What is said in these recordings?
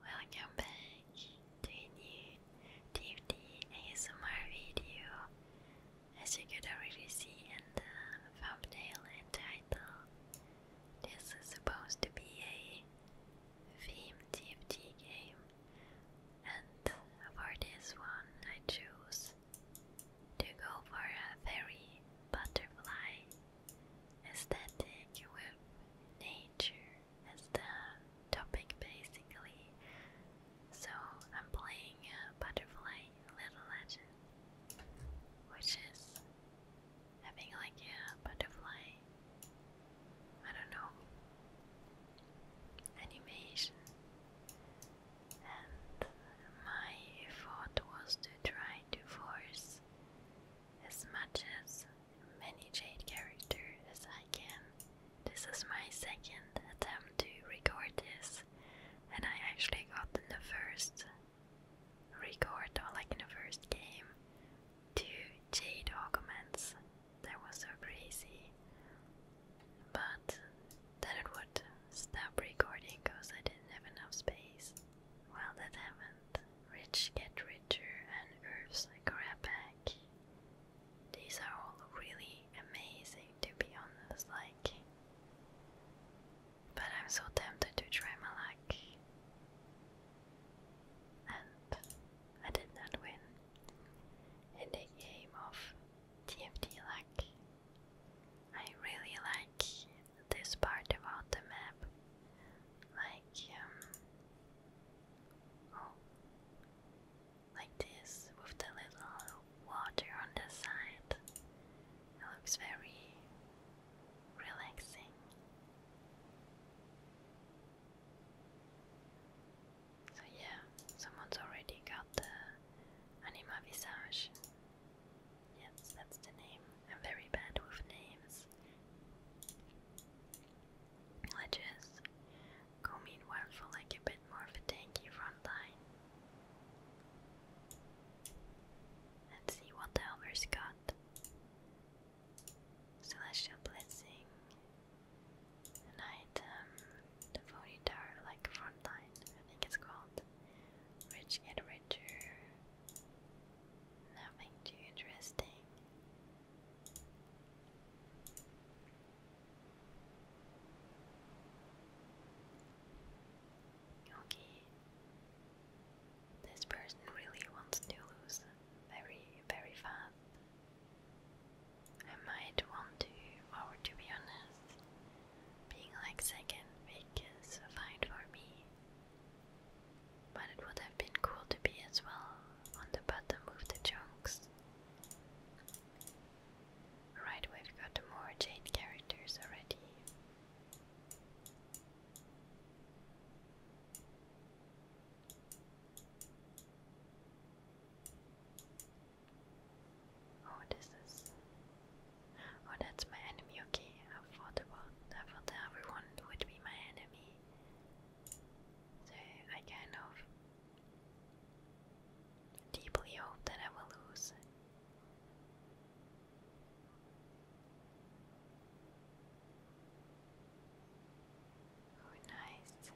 Welcome back to a new TFT ASMR video. As you could already see in the thumbnail and title, this is supposed to be a themed TFT game, and for this one, I choose to go for a very butterfly aesthetic with nature as the topic basically. So I'm playing uh, Butterfly Little Legend, which is having like a butterfly, I don't know, animation. And my thought was to try to force as much as many Jade characters as I can. This is my second attempt to record this, and I actually got in the first record, like in the first game, two Jade augments. That was so crazy. But then it would stop recording because I didn't have enough space. Well, that happened. Rich Get Richer, and Earth's back. These are all really amazing, to be honest, like... But I'm so tempted to try my luck. And I did not win in the game of TFT luck. I really like this part about the map. Like, um, Oh. Like this, with the little water on the side. It looks very relaxing. So, yeah, someone's already got the Anima Visage. Yes, that's the name. I'm very bad with names. Let's just go meanwhile for like a bit more of a tanky front line. let see what the others got. Celestial Blessing, an the Phony Tower, like front line, I think it's called. Rich get richer. Nothing too interesting. Okay. This person really wants to lose very, very fast. I might want to, or to be honest, being like second is fight for me but it would have been cool to be as well on the bottom with the chunks. Right, we've got more Jane characters already. Oh, this Oh, that's my enemy. Okay, I thought about. I thought everyone would be my enemy. So I kind of deeply hope that I will lose. Oh, nice.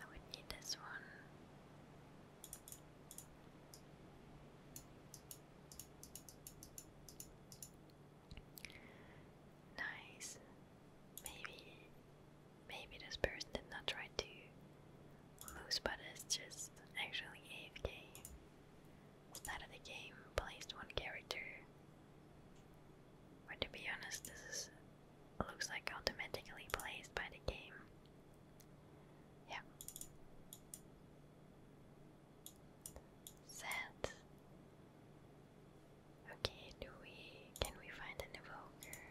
I would need this one. Nice. Maybe maybe this person did not try to lose but it's just actually AFK. Started the game, placed one character. But to be honest this looks like automatically placed by the game. Yeah. Set. Okay, do can we find an evoker?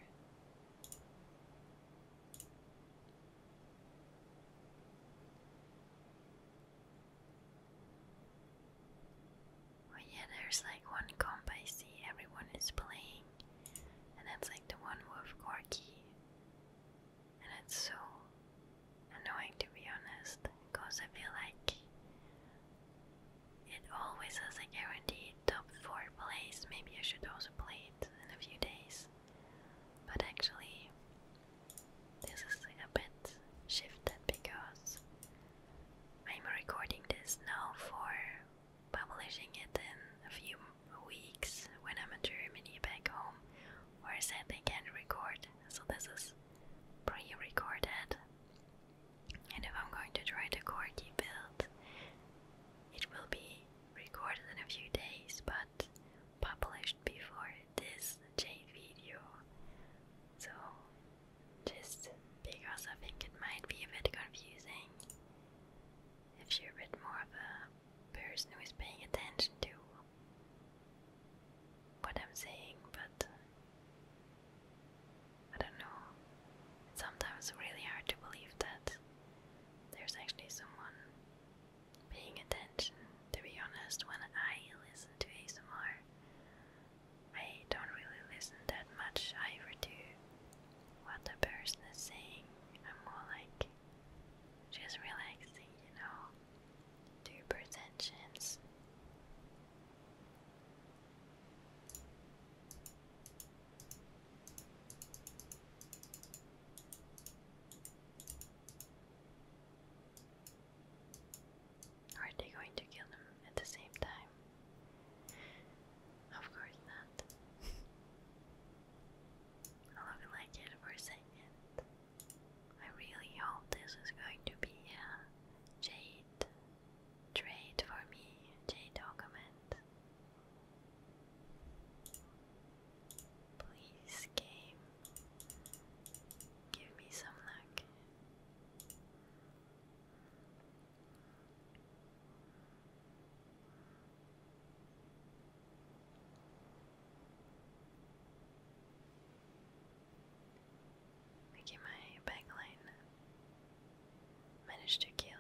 Oh yeah, there's like one comp I see everyone is playing, and that's like the one with Gorky and it's so annoying to be honest because I feel like it always has a guaranteed top 4 place. Maybe I should also play it in a few days, but actually, this is a bit shifted because I'm recording this now for publishing it in a few weeks when I'm in Germany back home where they can record, so this is pre-recorded. And if I'm going to try to corgi build, it will be recorded in a few days, but published before this Jade video. So, just because I think it might be a bit confusing if you're a bit more of a person who is paying attention to what I'm saying, but I don't know. It's sometimes really hard to believe that there's actually someone paying attention. To be honest, when I listen to ASMR, I don't really listen that much either to what the person is saying. I'm more like just relaxing, you know. 2% Are they going to kill them at the same time? Of course not. I love it like it for a second. I really hope this is going to be a Jade trade for me, Jade document. Please, game, give me some luck. Making my backline manage to kill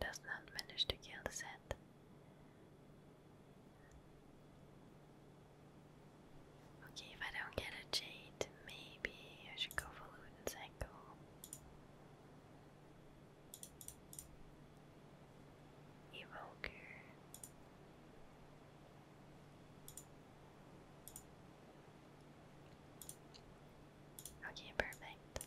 does not manage to kill the set. Okay, if I don't get a jade, maybe I should go for loot and cycle. Evoker. Okay, perfect.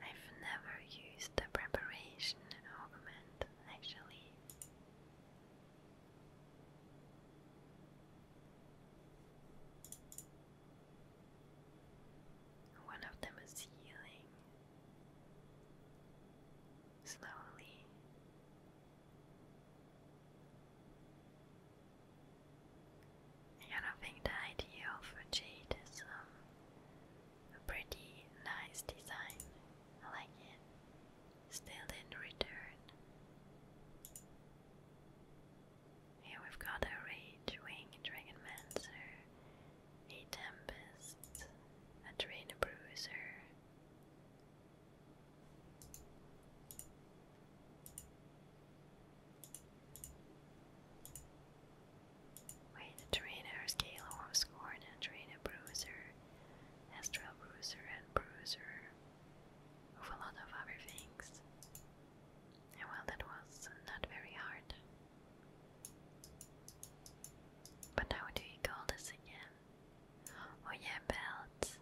I've never used the preparation augment actually. One of them is healing slowly. And I think the idea of jade is um, a pretty nice design. I like it still didn't return. Here we've got a Rage Wing Dragon a Tempest, a Drain Bruiser. Wait, a trainer, Scale Scorn, a trainer, bruiser, astral bruiser, and bruiser with a lot of other things. well, that was not very hard. But how do you call this again? Oh yeah, belt.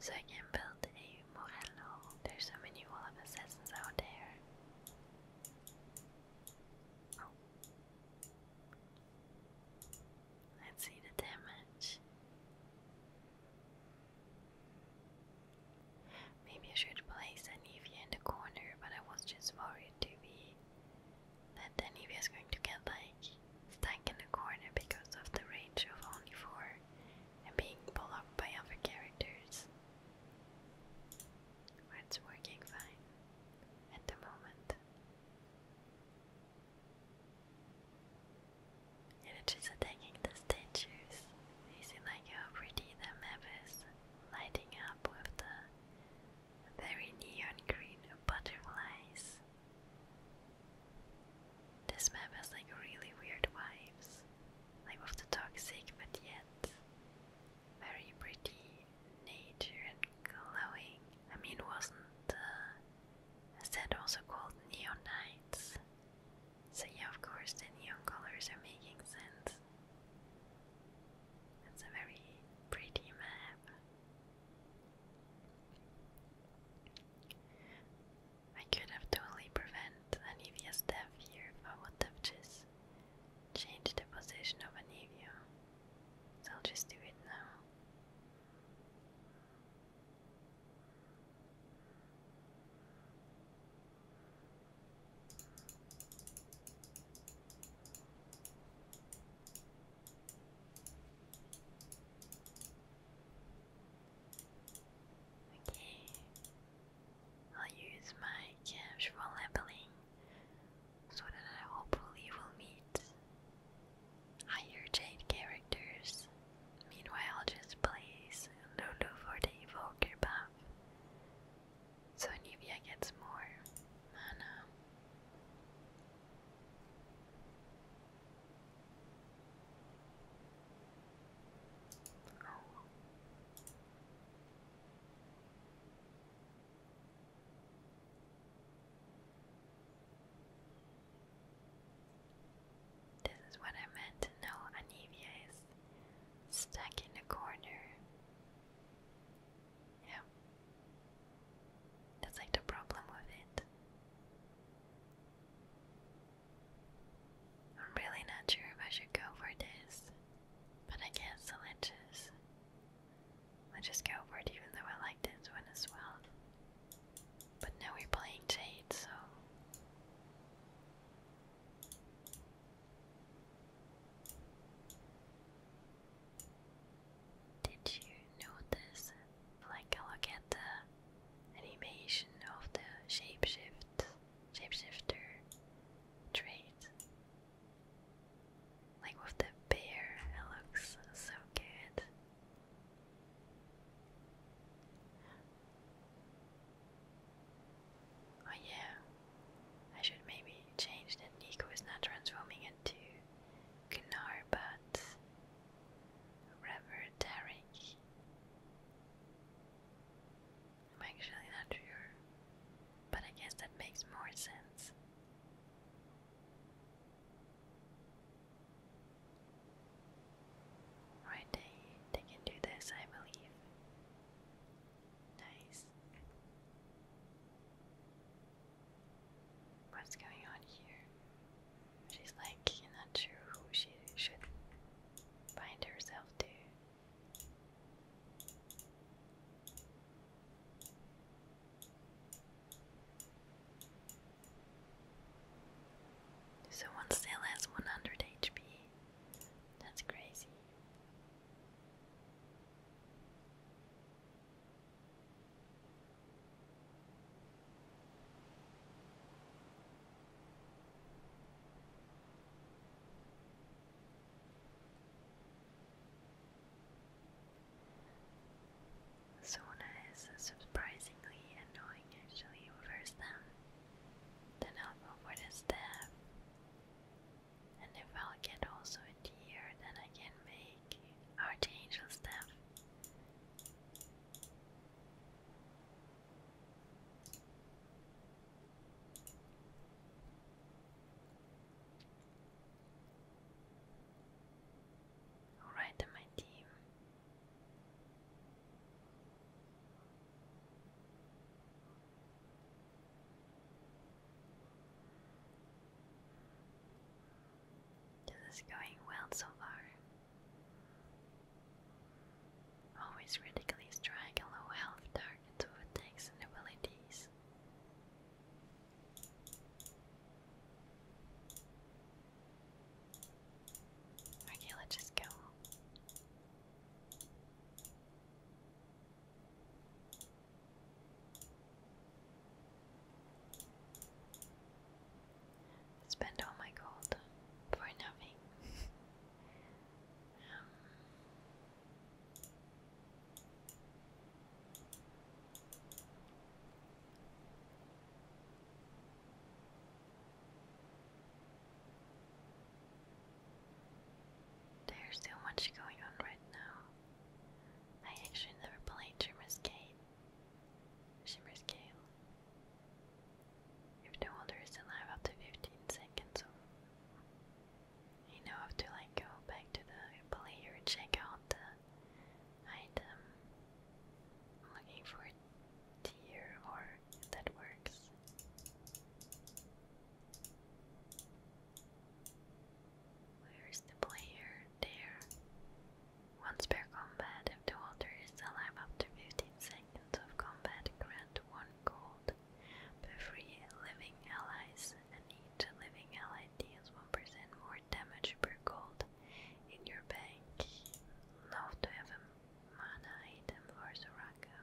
So I build a Morello. There's so many wall of assassins out there. Oh. Let's see the damage. Maybe I should place Anivia in the corner, but I was just worried to be that Anivia is going to get like stuck in the corner because of the range of only four and being blocked by other characters. It's working fine at the moment. It is attacking the statues using like how pretty the map is, lighting up with the very neon green butterflies. This map has like really weird vibes, like with toxic but yet very pretty nature and glowing. I mean, it wasn't is that also called neon nights? So yeah, of course the neon colors are making sense. It's a very pretty map. I could have totally prevent Anivia's death here if I would just changed the position of Anivia. So I'll just do it now. Okay, I'll use my casual labeling so that I hopefully will meet Higher Jade characters, meanwhile, I'll just plays Lulu for the Evoker buff, so Nivea gets more mana. This is what I meant to know Anivia is stuck in a corner. Yeah. That's like the problem with it. I'm really not sure if I should go for this, but I can't will just, I'll just go for it even though I like this one as well. But now we're playing Jade, so. Did you notice, like, I look at the animation of the shapeshift, shapeshifter trait? Like with the bear, it looks so good. Oh yeah, I should maybe change that Nico is not transforming into Gnar but rather Tarek. I'm actually not sure, but I guess that makes more sense. Right, they, they can do this, I believe. Nice. What's going on here? She's like not sure who she should bind herself to. So one still has 100 HP. That's crazy. Sona is surprisingly annoying actually, first down. Then I'll go for the staff. And if I'll get also a tier, then I can make Archangel staff. Alright, my team. This is going well so far. Always radically strong low health targets with attacks and abilities. Okay, let's just go. Spend all my gold for nothing. Um, there's so much going on right now. I actually never played Shimmer's Gale. Shimmer's Gale. If the holder is alive after 15 seconds, of, you know, have to like go back to the player, check out the uh, item, I'm looking for a tier or that works. Where's the player? There. Once per combat, if the holder is alive after 15 seconds of combat, grant one gold per free living allies, and each living ally deals 1% more damage per gold in your bank. Love to have a mana item for Soraka.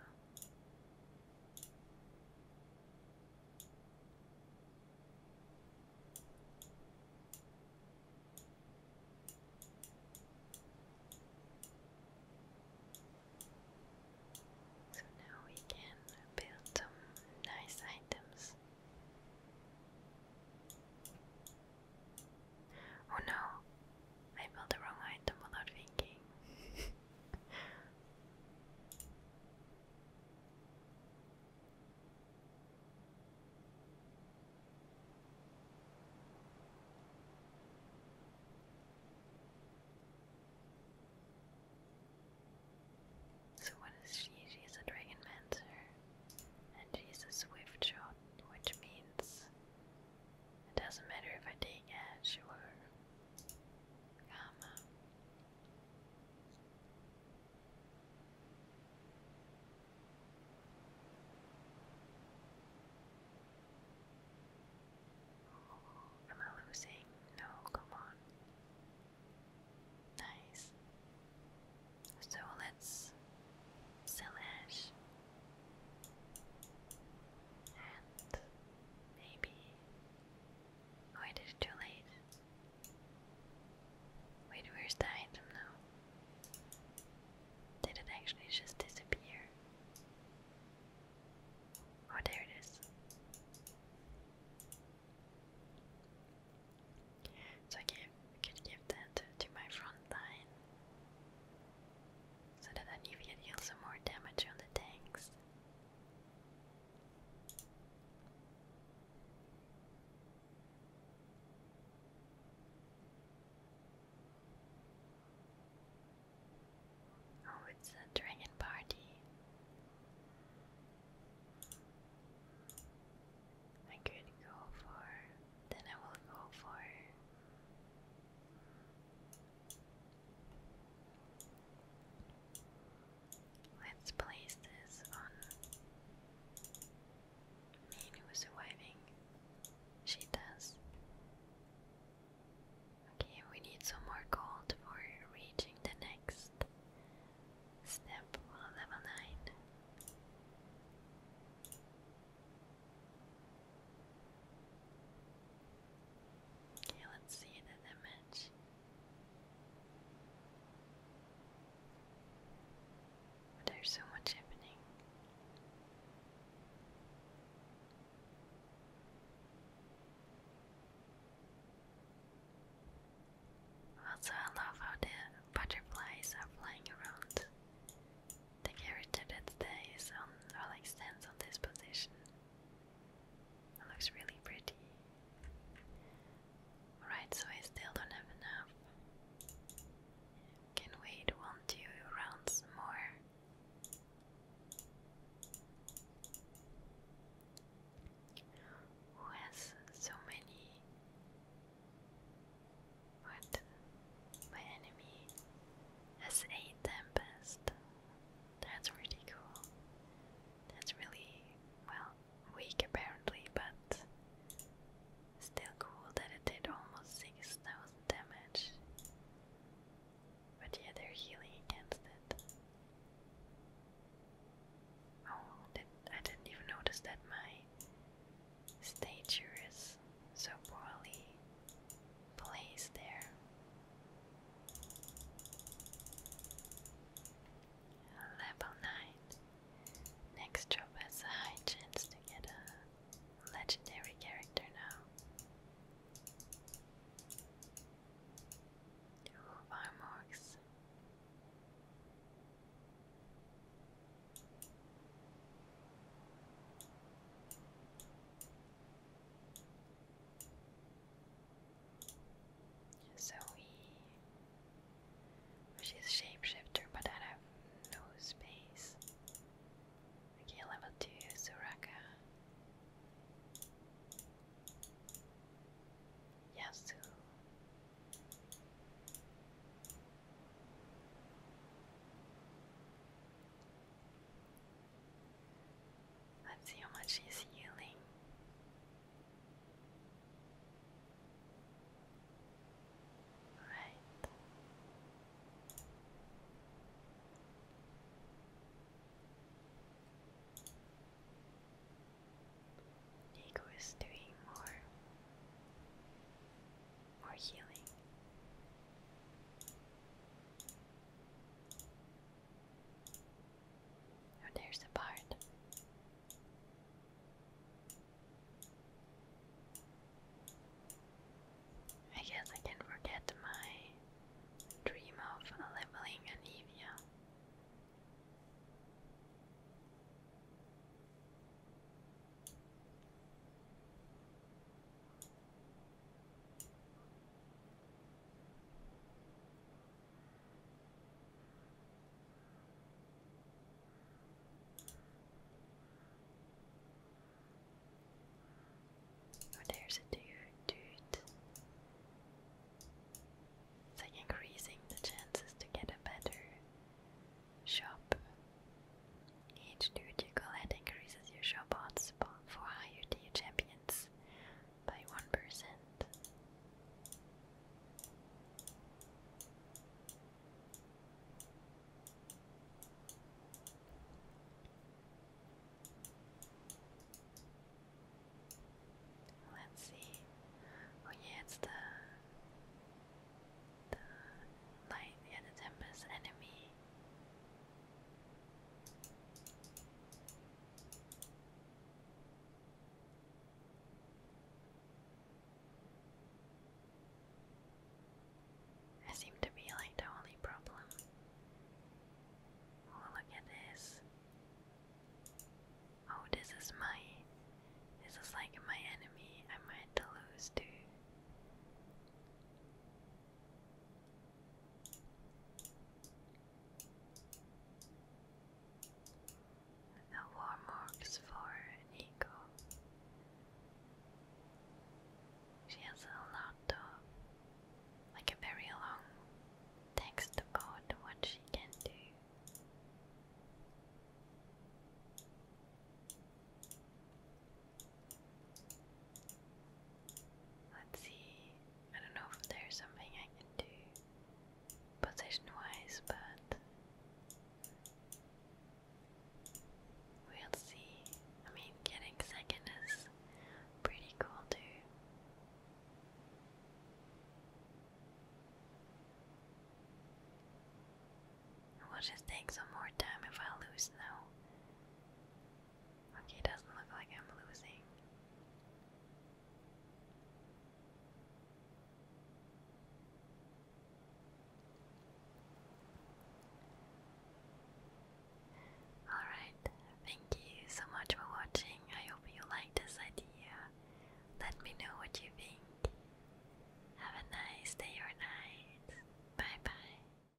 So now we can build some nice items. Oh no, I built the wrong item without thinking. So what is she? She is a dragon mancer, and she is a swift shot, which means it doesn't matter if I take Ash or Gamma. Am I losing? No, come on. Nice. So let's Silesh, and maybe. Oh, it is too late. Wait, where's the item now? Did it actually just disappear? Oh, there it is. So I gave, could give that to my front line so that I knew we could some more damage on the tanks. Oh, it's a dragon party. I could go for. Then I will go for Let's place this on man who is surviving. She does. Okay, we need some more gold for reaching the next step. level 9. Okay, let's see the image. There's so much happening. Also, I love how the butterflies are flying around. The character that stays on or like stands on this position. looks really pretty. Alright, so I still don't have enough. Can wait one, two rounds more. Who has so many? What? My enemy has eight tempest. That's really cool. That's really well weak apparently, but still cool that it did almost six thousand damage. But yeah, they're healing against it. Oh, I didn't even notice that my stature is so poorly place there. Level 9. Next job has a high chance to get a legendary character now. Farmworks. So he she's a shapeshifter but I have no space. Okay, level two Suraka. Yasu. Let's see how much he's healing. Right. Diego is doing more or healing. Oh, there's the part. I guess I can forget my dream of leveling Anivia. Oh, there's a dude, dude. It's like increasing the chances to get a better shop each surgical head increases your show bots for higher tier champions by 1%. Let's see. Oh yeah, the the light yeah the tempest enemy I seem to be like the only problem. Oh, look at this. Oh, this is my. This is like my enemy. I might lose too. A warm works for Nico. She has a lot of, like a very long text about what she can do. Let's see. I don't know if there's something I can do position wise, but we'll see. I mean, getting second is pretty cool too. It will just take some more time if I lose now. Okay, it doesn't look like I'm losing. Alright, thank you so much for watching. I hope you like this idea. Let me know what you think. Have a nice day or night. Bye bye.